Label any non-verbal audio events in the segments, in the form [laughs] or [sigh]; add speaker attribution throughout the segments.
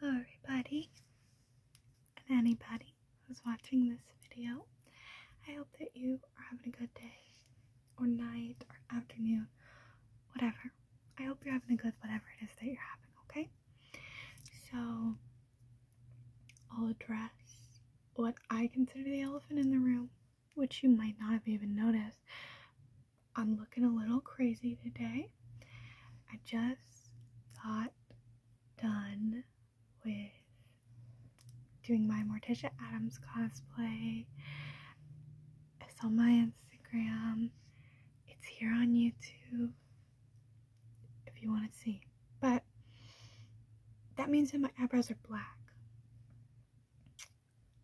Speaker 1: Hello, everybody, and anybody who's watching this video. I hope that you are having a good day, or night, or afternoon, whatever. I hope you're having a good whatever it is that you're having, okay? So, I'll address what I consider the elephant in the room, which you might not have even noticed, I'm looking a little crazy today. I just got done with doing my Morticia Adams cosplay. It's on my Instagram. It's here on YouTube if you want to see. But that means that my eyebrows are black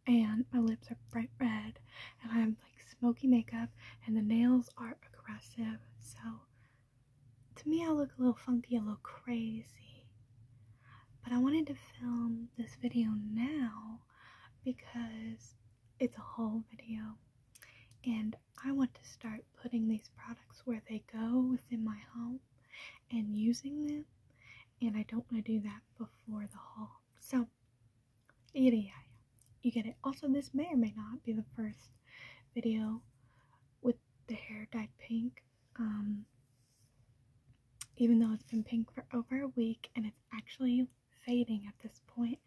Speaker 1: and my lips are bright red and i have like smoky makeup and the nails are aggressive. So to me I look a little funky, a little crazy. But I wanted to film this video now because it's a haul video and I want to start putting these products where they go within my home and using them and I don't want to do that before the haul. So Yada You get it. Also, this may or may not be the first video with the hair dyed pink. Um, even though it's been pink for over a week and it's actually fading at this point,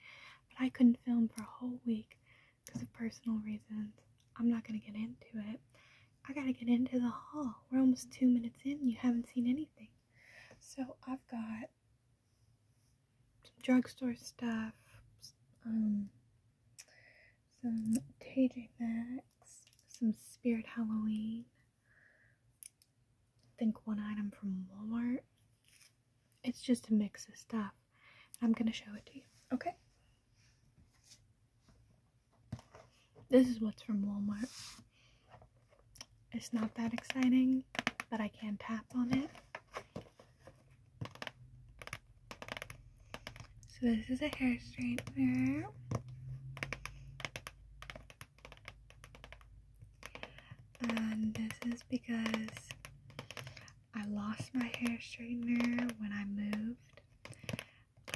Speaker 1: but I couldn't film for a whole week because of personal reasons. I'm not gonna get into it. I gotta get into the haul. We're almost two minutes in. You haven't seen anything. So I've got some drugstore stuff, um, some TJ Maxx, some Spirit Halloween. I think one item from Walmart. It's just a mix of stuff. I'm gonna show it to you, okay? This is what's from Walmart. It's not that exciting, but I can tap on it. So this is a hair straightener. And this is because I lost my hair straightener when I moved.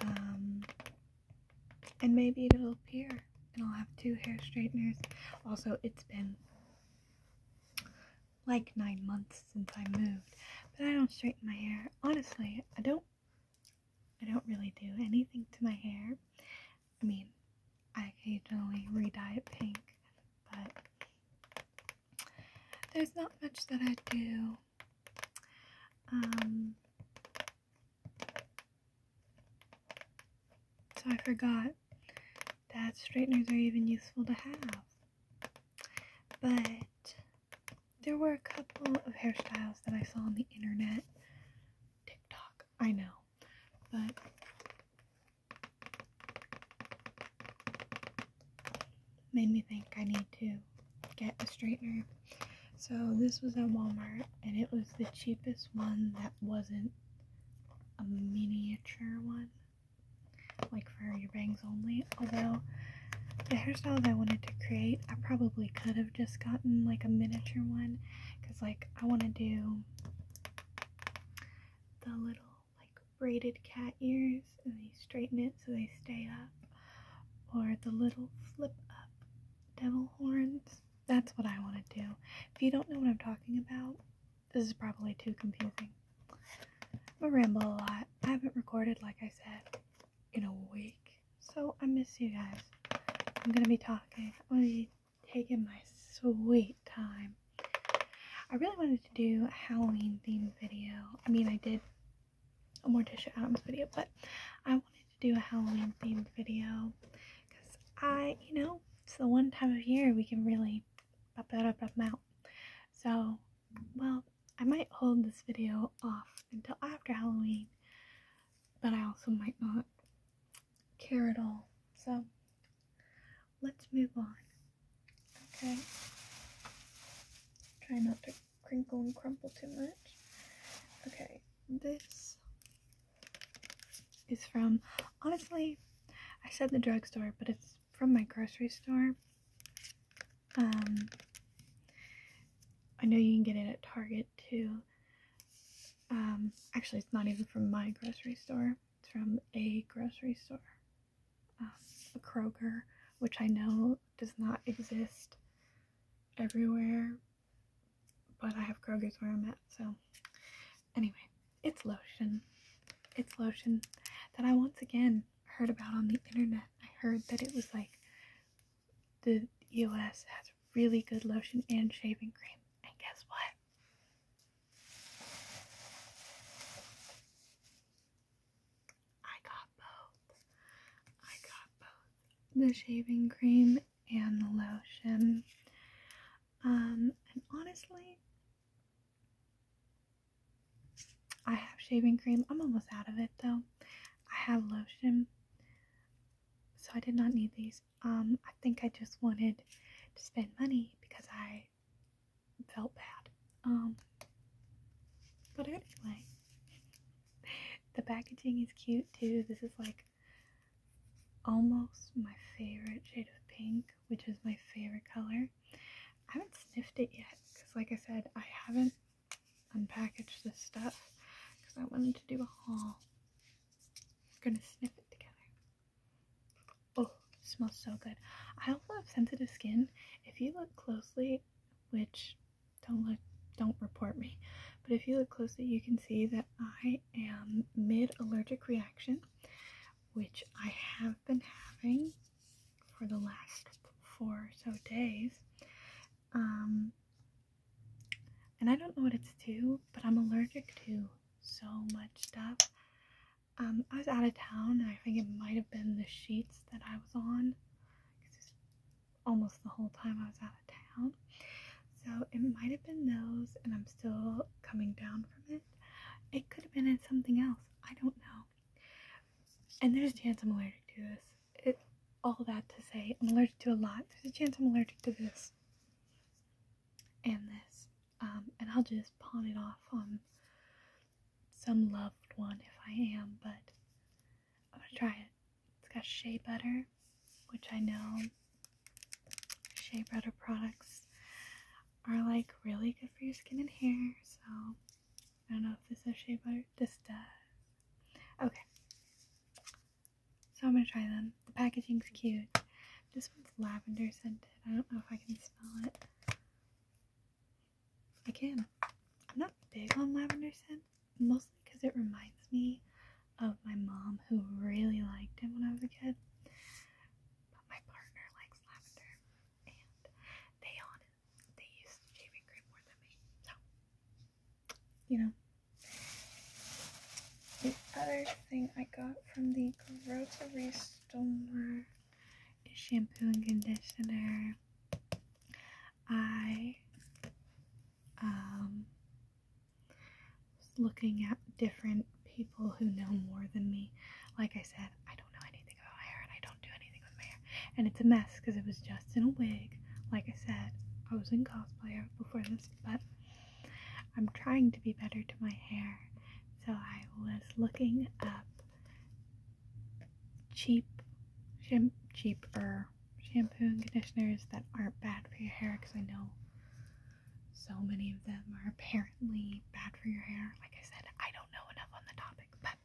Speaker 1: Um, and maybe it'll appear and I'll have two hair straighteners. Also, it's been like nine months since I moved, but I don't straighten my hair. Honestly, I don't I don't really do anything to my hair. I mean, I occasionally re-dye it pink, but there's not much that I do. Um, so I forgot that straighteners are even useful to have. But there were a couple of hairstyles that I saw on the internet. TikTok, I know. But made me think I need to get a straightener. So this was at Walmart and it was the cheapest one that wasn't a miniature one, like for your bangs only. Although, the hairstyles I wanted to create, I probably could have just gotten like a miniature one because, like, I want to do the little like braided cat ears and they straighten it so they stay up, or the little flip up devil horns that's what I want to do. If you don't know what I'm talking about, this is probably too confusing. I am a ramble a lot. I haven't recorded, like I said, in a week. So I miss you guys. I'm going to be talking. I'm going to be taking my sweet time. I really wanted to do a Halloween themed video. I mean, I did a Morticia Adams video, but I wanted do a Halloween themed video because I, you know, it's the one time of year we can really pop that up, pop them out. So, well, I might hold this video off until after Halloween, but I also might not care at all. So, let's move on. Okay. Try not to crinkle and crumple too much. Okay, this is from honestly I said the drugstore but it's from my grocery store um I know you can get it at Target too um actually it's not even from my grocery store it's from a grocery store um, a Kroger which I know does not exist everywhere but I have Kroger's where I'm at, so anyway, it's lotion. It's lotion that I once again heard about on the internet. I heard that it was like the EOS has really good lotion and shaving cream. And guess what? I got both. I got both the shaving cream and the lotion. Um, and honestly, I have shaving cream. I'm almost out of it though. I have lotion, so I did not need these. Um, I think I just wanted to spend money because I felt bad. Um, but anyway, [laughs] the packaging is cute too. This is like almost my favorite shade of pink, which is my favorite color. I haven't sniffed it yet because, like I said, I haven't unpackaged this stuff because I wanted to do a haul. We're gonna sniff it together. Oh, smells so good. I also have sensitive skin. If you look closely, which don't look don't report me but if you look closely you can see that i am mid allergic reaction which i have been having for the last four or so days um and i don't know what it's to but i'm allergic to so much stuff um i was out of town i think it might have been the sheets that i was on almost the whole time I was out of town. So it might have been those, and I'm still coming down from it. It could have been something else. I don't know. And there's a chance I'm allergic to this. all that to say, I'm allergic to a lot. There's a chance I'm allergic to this and this. Um, and I'll just pawn it off on some loved one if I am, but I'm gonna try it. It's got shea butter, which I know shea butter products are like really good for your skin and hair. So I don't know if this has shea butter. This does. Okay. So I'm gonna try them. The packaging's cute. This one's lavender scented. I don't know if I can smell it. I can. I'm not big on lavender scent, mostly because it reminds me of my mom who really liked him when I was a kid. But my partner likes lavender, and they on they use shaving cream more than me. So you know. The other thing I got from the grocery store is shampoo and conditioner. I um, looking at different people who know more than me. Like I said, I don't know anything about hair and I don't do anything with my hair. And it's a mess because it was just in a wig. Like I said, I was in cosplay before this, but I'm trying to be better to my hair. So I was looking up cheap, cheaper shampoo and conditioners that aren't bad for your hair because I know so many of them are apparently bad for your hair. Like I said, I don't know enough on the topic, but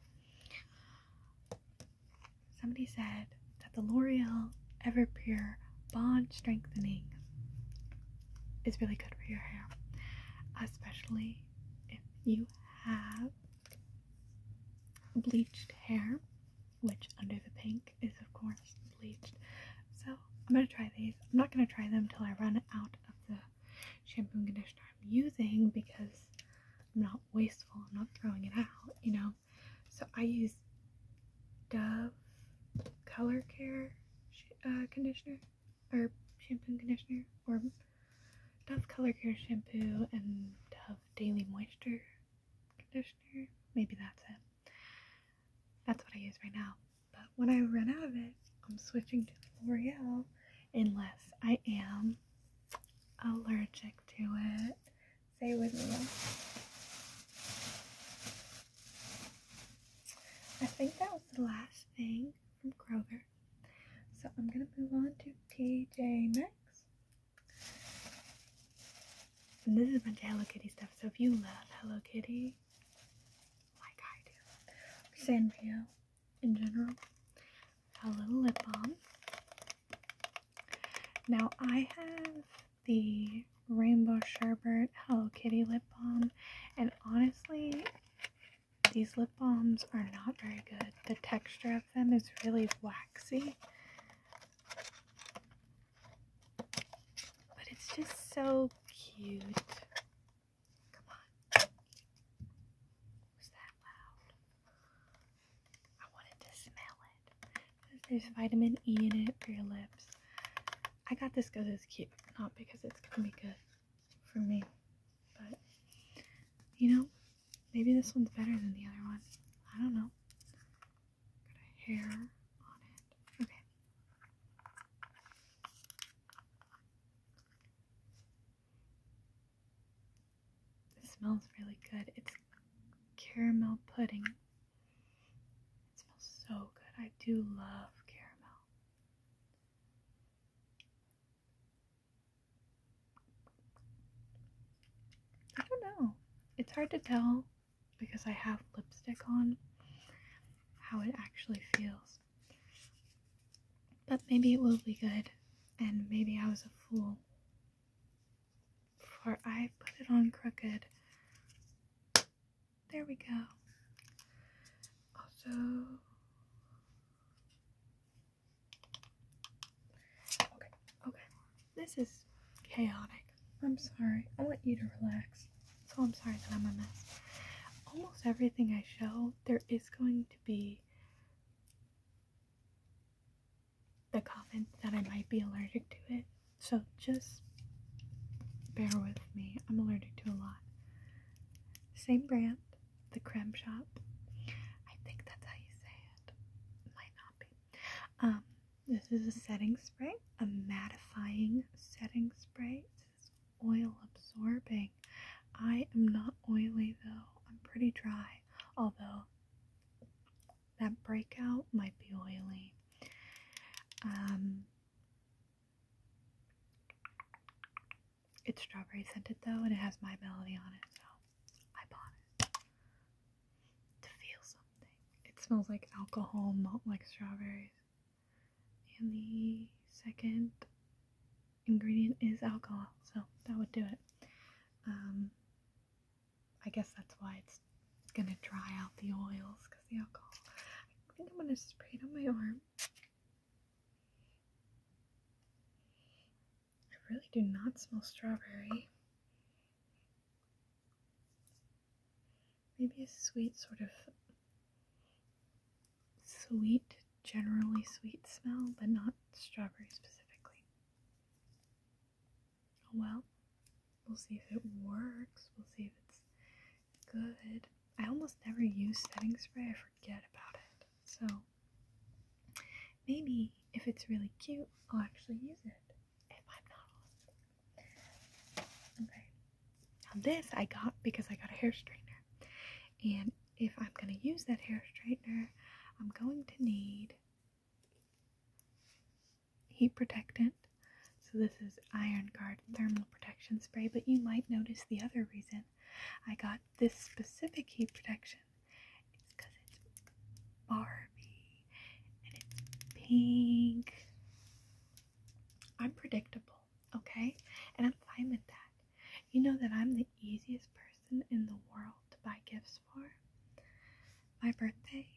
Speaker 1: somebody said that the L'Oreal Everpure Bond Strengthening is really good for your hair, especially if you have bleached hair which under the pink is of course bleached. So I'm gonna try these. I'm not gonna try them till I run out of the shampoo conditioner I'm using because I'm not wasteful. I'm not throwing it out, you know. So I use Dove Color Care uh, conditioner or shampoo conditioner or Dove Color Care shampoo and Dove Daily Moisture conditioner. Maybe that's it. That's what I use right now. But when I run out of it, I'm switching to L'Oreal unless I am allergic to it. Say with me. I think that was the last thing from Kroger. So I'm gonna move on to TJ Maxx. And this is a bunch of Hello Kitty stuff. So if you love Hello Kitty, like I do, Sanrio in general, a little lip balm. Now I have the Rainbow Sherbet Hello Kitty lip balm, and honestly, these lip balms are not very good. The texture of them is really whack waxy. But it's just so cute. There's vitamin E in it for your lips. I got this because it's cute, not because it's going to be good for me. But, you know, Maybe this one's better than the other one. I don't know. Got a hair on it. Okay. It smells really good. It's caramel pudding. It smells so good. I do love caramel. I don't know. It's hard to tell because I have lipstick on how it actually feels. But maybe it will be good, and maybe I was a fool. For I put it on crooked. There we go. Also, Okay, okay. This is chaotic. I'm sorry. I want you to relax. So I'm sorry that I'm a mess. Almost everything I show, there is going to be the comment that I might be allergic to it. So just bear with me. I'm allergic to a lot. Same brand, the Creme Shop. I think that's how you say it might not be. Um, this is a setting spray, a mattifying setting spray. This is oil absorbing. I am not oily though. I'm pretty dry, although that breakout might be oily. Um, it's strawberry scented though, and it has my melody on it, so I bought it to feel something. It smells like alcohol, not like strawberries. And the second ingredient is alcohol, so that would do it. Um, I guess that's why it's gonna dry out the oils because the alcohol. I think I'm gonna spray it on my arm. I really do not smell strawberry. Maybe a sweet sort of sweet, generally sweet smell, but not strawberry specifically. Well, we'll see if it works. We'll see if it's good. I almost never use setting spray. I forget about it. So maybe if it's really cute, I'll actually use it. If I'm not Okay. Now this I got because I got a hair straightener. And if I'm gonna use that hair straightener, I'm going to need heat protectant. So this is Iron Guard Thermal Protection Spray, but you might notice the other reason I got this specific heat protection collection it's Barbie and it's pink. I'm predictable, okay? And I'm fine with that. You know that I'm the easiest person in the world to buy gifts for. My birthday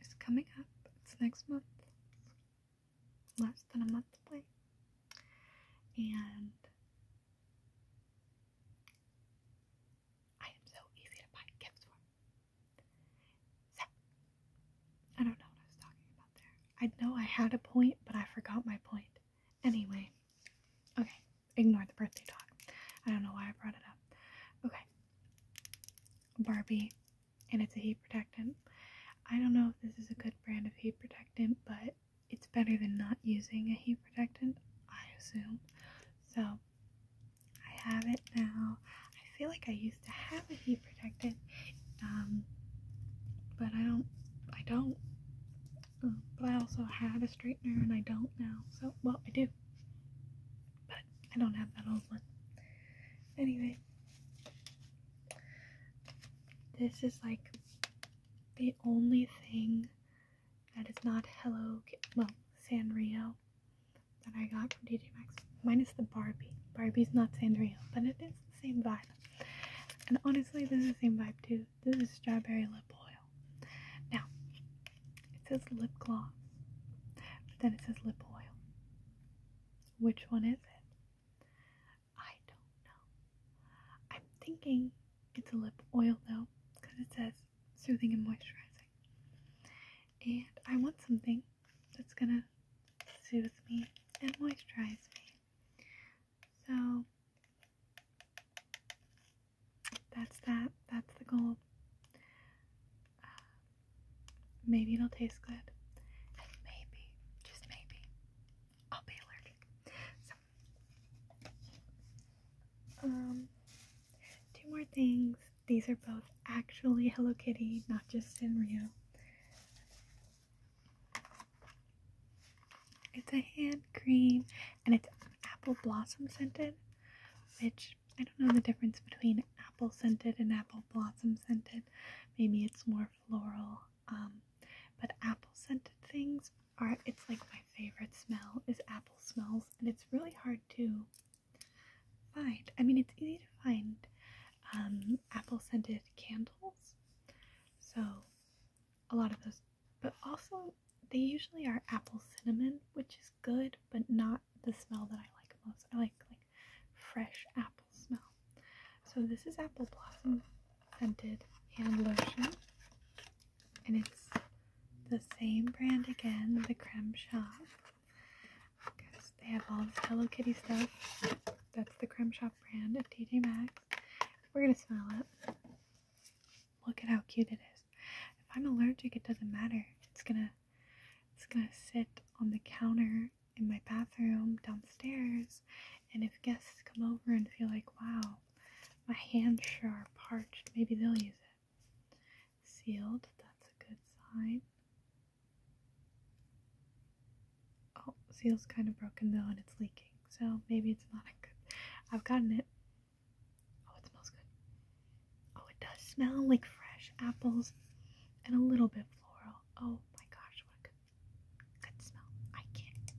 Speaker 1: is coming up, it's next month, less than a month away. And I am so easy to buy gifts from. So, I don't know what I was talking about there. I know I had a point, but I forgot my point. Anyway, okay, ignore the birthday talk. I don't know why I brought it up. Okay, Barbie, and it's a heat protectant. I don't know if this is a good brand of heat protectant, but it's better than not using a heat protectant, I assume. So I have it now. I feel like I used to have a heat protectant, um, but I don't. I don't. Um, but I also have a straightener, and I don't now. So well, I do, but I don't have that old one. Anyway, this is like the only thing that is not Hello, well, Sanrio that I got from DJ Maxx, minus the Barbie. Barbie's not Sanrio, but it is the same vibe. And honestly, this is the same vibe too. This is strawberry lip oil. Now, it says lip gloss, but then it says lip oil. Which one is it? I don't know. I'm thinking it's a lip oil though, because it says soothing and moisturizing. And I want something that's gonna soothe me and moisturize me. So that's that. That's the goal. Uh, maybe it'll taste good. And maybe, just maybe, I'll be allergic. Um, two more things. These are both actually Hello Kitty, not just in Sanrio. It's a hand cream and it's apple blossom scented, which I don't know the difference between apple scented and apple blossom scented. Maybe it's more floral. Um, but apple scented things are it's like my favorite smell is apple smells and it's really hard to find. I mean it's easy to find um apple scented candles. So a lot of those but also they usually are apple cinnamon, which is good, but not the smell that I like most. I like like fresh apple smell. So this is apple blossom scented hand lotion. And it's the same brand again, the Creme Shop. Because they have all this Hello Kitty stuff. That's the Creme Shop brand of TJ Max. We're going to smell it. Look at how cute it is. If I'm allergic, it doesn't matter. It's going to it's going to sit on the counter in my bathroom downstairs and if guests come over and feel like, wow, my hands sure are parched. Maybe they'll use it. Sealed, that's a good sign. Oh, seal's kind of broken though and it's leaking, so maybe it's not a good. I've gotten it. Oh, it smells good. Oh, it does smell like fresh apples and a little bit floral. Oh my gosh, what a good Good smell. I can't.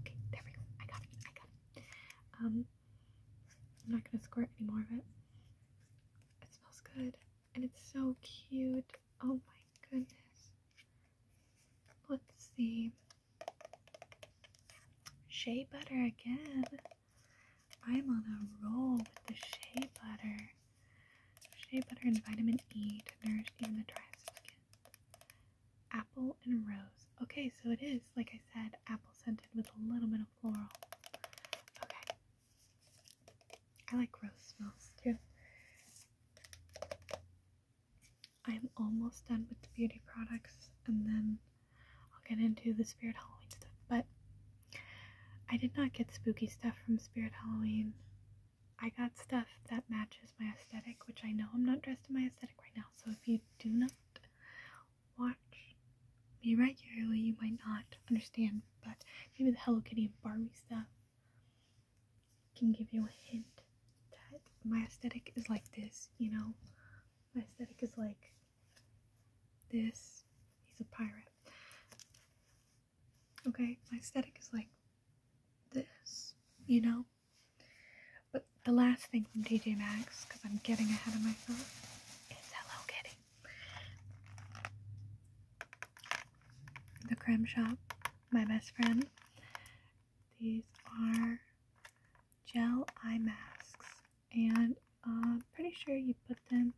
Speaker 1: Okay, there we go. I got it. I got it. Um, I'm not gonna squirt any more of it. It smells good, and it's so cute. Oh my goodness. Let's see. Shea butter again. I'm on a roll with the shea butter. Shea butter and vitamin E to nourish even the driest skin. Apple and rose. Okay, so it is, like I said, apple scented with a little bit of floral. Okay. I like rose smells too. I'm almost done with the beauty products and then I'll get into the Spirit Halloween stuff. But I did not get spooky stuff from Spirit Halloween. I got stuff that matches my aesthetic, which I know I'm not dressed in my aesthetic right now. So if you do not watch me regularly, you might not understand. But maybe the Hello Kitty and Barbie stuff can give you a hint that my aesthetic is like this, you know? My aesthetic is like this. He's a pirate. Okay, my aesthetic is like this, you know? But the last thing from TJ Maxx, because I'm getting ahead of myself, is Hello Kitty. The Creme Shop, my best friend. These are gel eye masks, and I'm uh, pretty sure you put them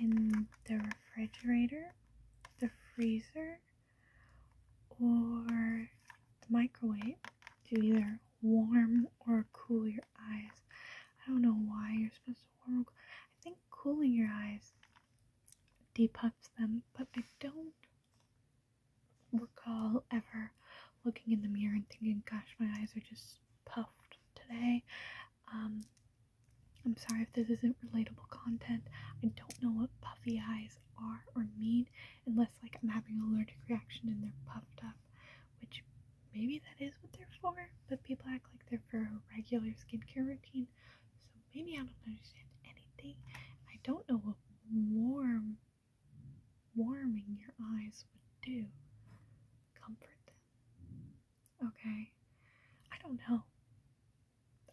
Speaker 1: in the refrigerator, the freezer, or the microwave to either warm or cool your eyes. I don't know why you're supposed to warm. I think cooling your eyes depuffs them, but I don't recall ever looking in the mirror and thinking, gosh, my eyes are just puffed today. Um, I'm sorry if this isn't relatable content. I don't know what puffy eyes are or mean unless like I'm having an allergic reaction and they're puffed up, which maybe that is what they're for, but people act like they're for a regular skincare routine. So maybe I don't understand anything. I don't know what warm warming your eyes would do. Comfort them. Okay. I don't know.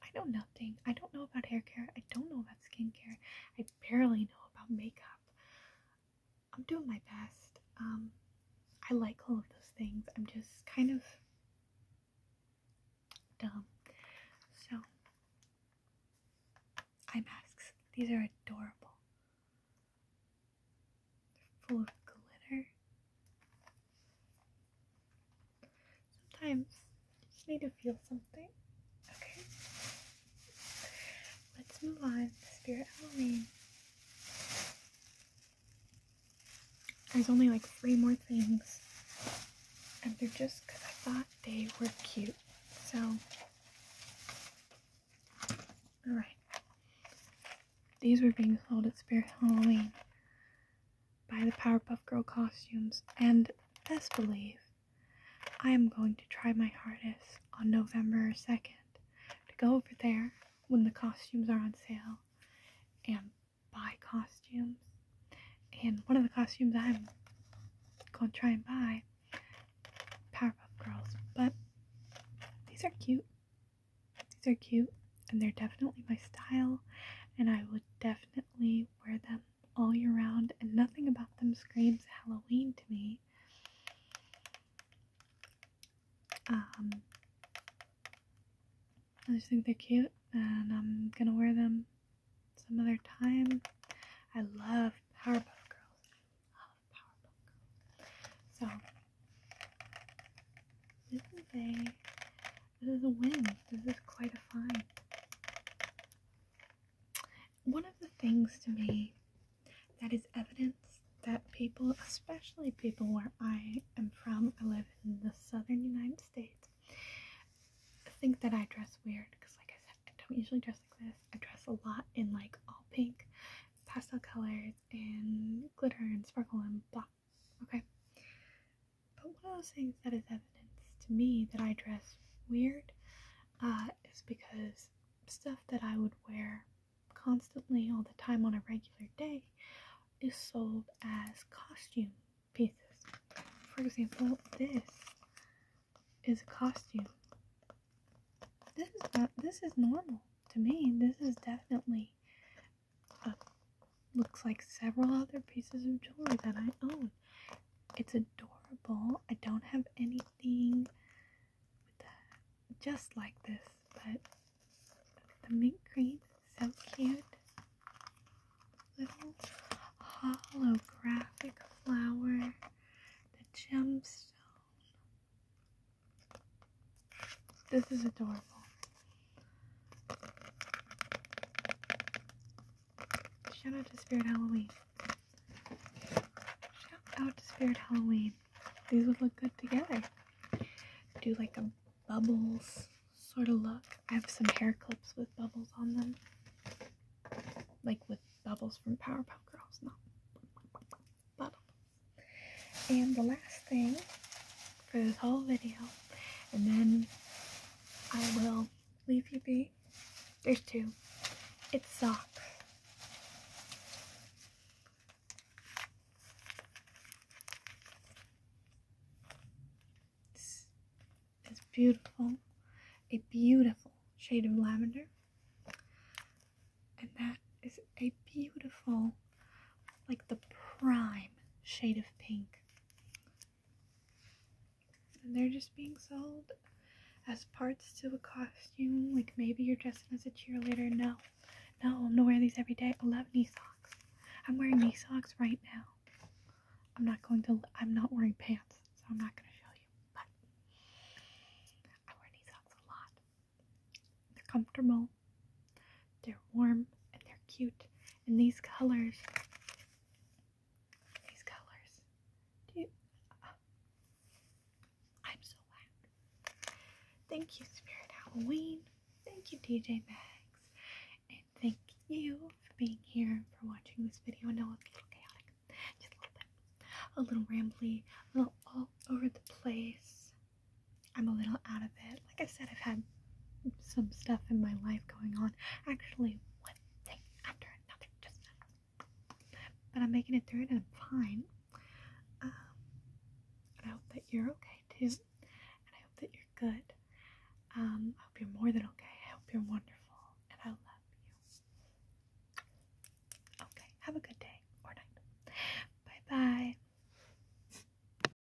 Speaker 1: I know nothing. I don't know about hair care. I don't know about skincare. I barely know about makeup. I'm doing my best. Um, I like all of those things. I'm just kind of dumb. So, eye masks. These are adorable. They're full of glitter. Sometimes you just need to feel something. Okay. Let's move on Spirit Halloween. There's only like three more things. And they're just because I thought they were cute. So, alright. These were being sold at Spirit Halloween buy the Powerpuff Girl costumes, and best believe I am going to try my hardest on November 2nd to go over there when the costumes are on sale and buy costumes. And one of the costumes I'm going to try and buy Powerpuff Girls, but these are cute. These are cute and they're definitely my style and I would definitely wear them all year round, and nothing about them screams Halloween to me. Um, I just think they're cute, and I'm gonna wear them some other time. I love Powerpuff Girls. I love Powerpuff Girls. So, this is a this is a win. This is quite a find. One of the things to me that is evidence that people, especially people where I am from, I live in the southern United States, think that I dress weird because, like I said, I don't usually dress like this. I dress a lot in like all pink, pastel colors, and glitter, and sparkle, and blah okay. But one of those things that is evidence to me that I dress weird uh, is because stuff that I would wear constantly all the time on a regular day is sold as costume pieces. For example, this is a costume. This is not this is normal to me. This is definitely looks like several other pieces of jewelry that I own. It's adorable. I don't have anything just like this, but the mint green so cute. Little holographic flower, the gemstone. This is adorable. Shout out to Spirit Halloween. Shout out to Spirit Halloween. These would look good together. Do like a bubbles sort of look. I have some hair clips with bubbles on them. Like with bubbles from Powerpuff Girls, not bubbles. And the last thing for this whole video and then I will leave you be. There's two. It's socks. It's beautiful. A beautiful shade of lavender. And that is a beautiful, like the prime shade of pink. And they're just being sold as parts to a costume. Like maybe you're dressing as a cheerleader. No, no, I'm gonna wear these every day. I love knee socks. I'm wearing knee socks right now. I'm not going to. I'm not wearing pants, so I'm not gonna show you. But I wear knee socks a lot. They're comfortable. They're warm and they're cute. And these colors, these colors, uh, I'm so loud. Thank you, Spirit Halloween. Thank you, DJ Mags. And thank you for being here, for watching this video. I know it's a little chaotic, just a little bit, a little rambly, a little all over the place. I'm a little out of it. Like I said, I've had some stuff in my life going on. Actually, one thing after another, just but I'm making it through and I'm fine. Um, I hope that you're okay too, and I hope that you're good. Um, I hope you're more than okay. I hope you're wonderful, and I love you. Okay, have a good day or night. Bye bye.